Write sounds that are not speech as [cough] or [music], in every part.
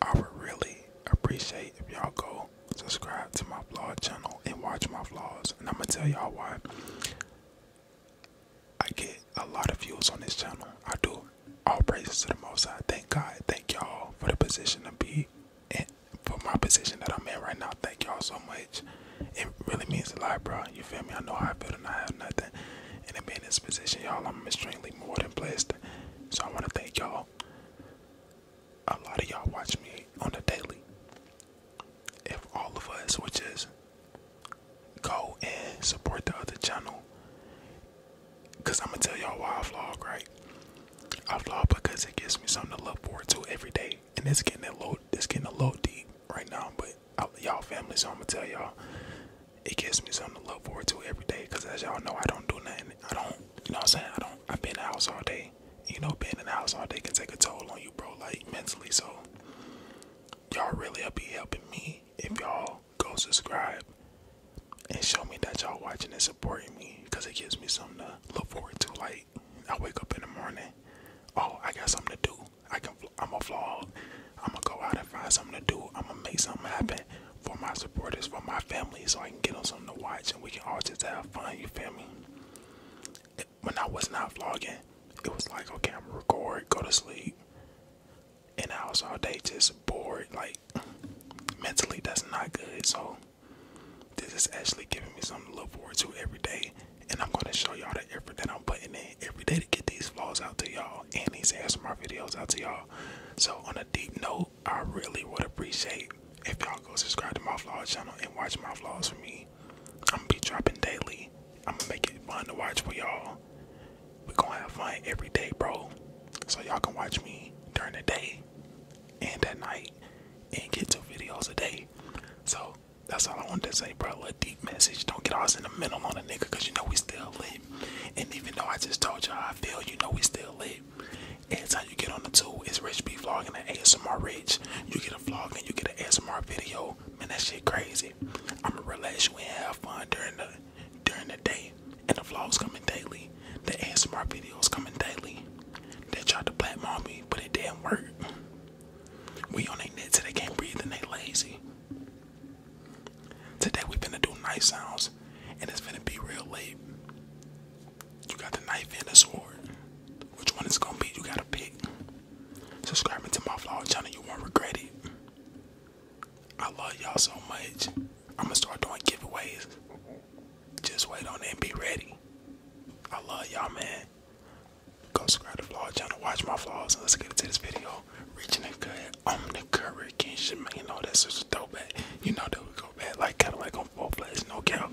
I would really appreciate if y'all go subscribe to my vlog channel and watch my vlogs. And I'm gonna tell y'all why. I get a lot of views on this channel. I do. All praises to the Most High. Thank God. Thank y'all for the position to be in, for my position that I'm in right now. Thank y'all so much. It really means a lot, bro. You feel me? I know how I feel and I have nothing. And to be in this position, y'all, I'm extremely more than blessed. So I want to thank y'all a lot of y'all watch me on the daily. If all of us which is, go and support the other channel, because I'm gonna tell y'all why I vlog, right? I vlog because it gives me something to look forward to every day, and it's getting a little, it's getting a little deep right now. But y'all family, so I'm gonna tell y'all, it gives me something to look forward to every day. Because as y'all know, I don't do nothing. I don't you know what I'm saying? I don't I've been in the house all day. You know, being in the house all day can take a toll on you, bro, like mentally. So y'all really help be helping me if y'all go subscribe and show me that y'all watching and supporting me because it gives me something to look forward to. Like I wake up in the morning, oh I got something to do. I can I'm a vlog. I'm gonna go out and find something to do. I'm gonna make something happen for my supporters, for my family, so I can get them something to watch and we can all just have fun, you feel me? when I was not vlogging, it was like, okay, I'm going record, go to sleep, and I was all day just bored, like, [clears throat] mentally, that's not good, so this is actually giving me something to look forward to every day, and I'm gonna show y'all the effort that I'm putting in every day to get these vlogs out to y'all and these ASMR videos out to y'all. So, on a deep note, I really would appreciate if y'all go subscribe to my vlog channel and watch my vlogs for me. I'm gonna be dropping daily. I'm gonna make it fun to watch for y'all. we gonna have fun every day, bro. So y'all can watch me during the day and at night and get two videos a day. So that's all I wanted to say, bro. A deep message. Don't get all sentimental on a nigga, cause you know we still live. And even though I just told y'all I feel, you know we still live. And that's you get on the two. It's Rich B vlogging and ASMR Rich. You get a vlog and you get an ASMR video. Man, that shit crazy. I'ma relax you and have fun during the during the day. And the vlogs coming daily. The ASMR videos coming daily. They tried to black mom me, but it didn't work. We on their net till they can't breathe and they lazy. Today we finna do night sounds and it's finna be real late. You got the knife and the sword. Which one is gonna be? You gotta pick. Subscribing to my vlog channel, you won't regret it. I love y'all so much. I'm gonna start doing giveaways. Just wait on it and be ready. I love y'all, man. Go subscribe to the vlog channel, watch my vlogs, and let's get into this video. Reaching um, the good, I'm the curry, king. not shit, man. You know, that's such a throwback. You know that we go back like Cadillac on off ball players, no count.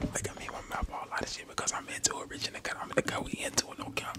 Look at me my mouth all out of shit because I'm into it, Rich I'm the cut. We into it, no count.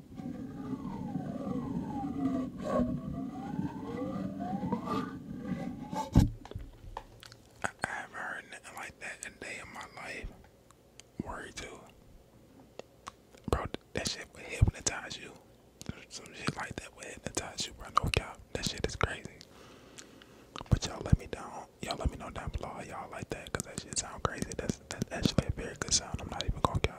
I, have heard nothing like that in day in my life. Word too. Bro, that shit would hypnotize you. Some shit like that would hypnotize you, bro. No cap. That shit is crazy. But y'all let me down. Y'all let me know down below y'all like that, cause that shit sound crazy. That's that's actually a very good sound. I'm not even gonna count.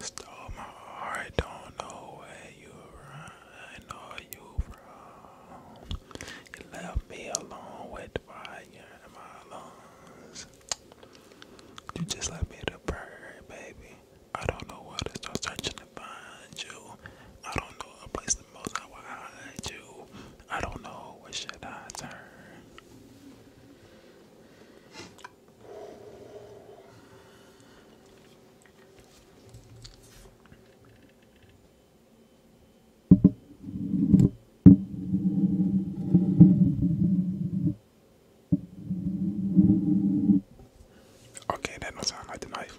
Stole my heart, don't know where you run, I know you from. You left me alone with fire in my lungs. You just left me to burn, baby. I don't know where to start searching to find you. I don't know a place the most I will hide you. I don't know where should I turn. Okay, that don't sound like the knife.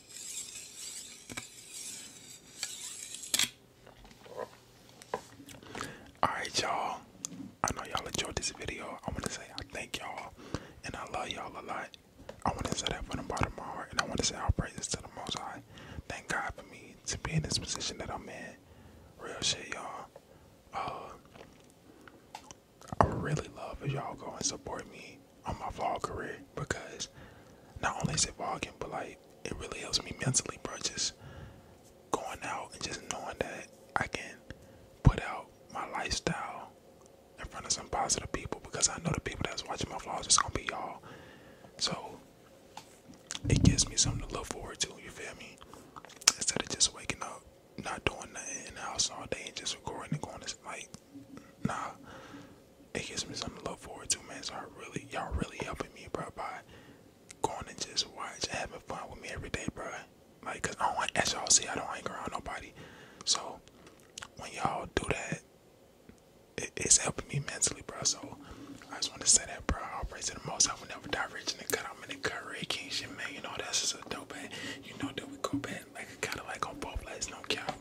Alright, y'all. I know y'all enjoyed this video. I want to say I thank y'all and I love y'all a lot. I want to say that from the bottom of my heart and I want to say our praises to the Most High. Thank God for me to be in this position that I'm in. Real shit, y'all. Uh, I really love if y'all go and support me on my vlog career because not only is it vlogging, but like it really helps me mentally, bro. Just going out and just knowing that I can put out my lifestyle in front of some positive people because I know the people that's watching my vlogs is gonna be y'all. So it gives me something to look forward to, you feel me? Instead of just waking up, not doing nothing in the house all day and just recording and going to like nah, it gives me something to look forward to, man. So I really, y'all really helping me, bro, by going and just watch, having fun with me every day, bro. Like, cause I don't, want as y'all see, I don't hang around nobody. So when y'all do that, it's helping me mentally, bro. So I just want to say that, bro. I'll praise to the most. I will never die rich and the cut. I'm in the cut, Ray King shit, man. You know, that's just a dope, man. You know that we go back like a kind of like on both legs, no count.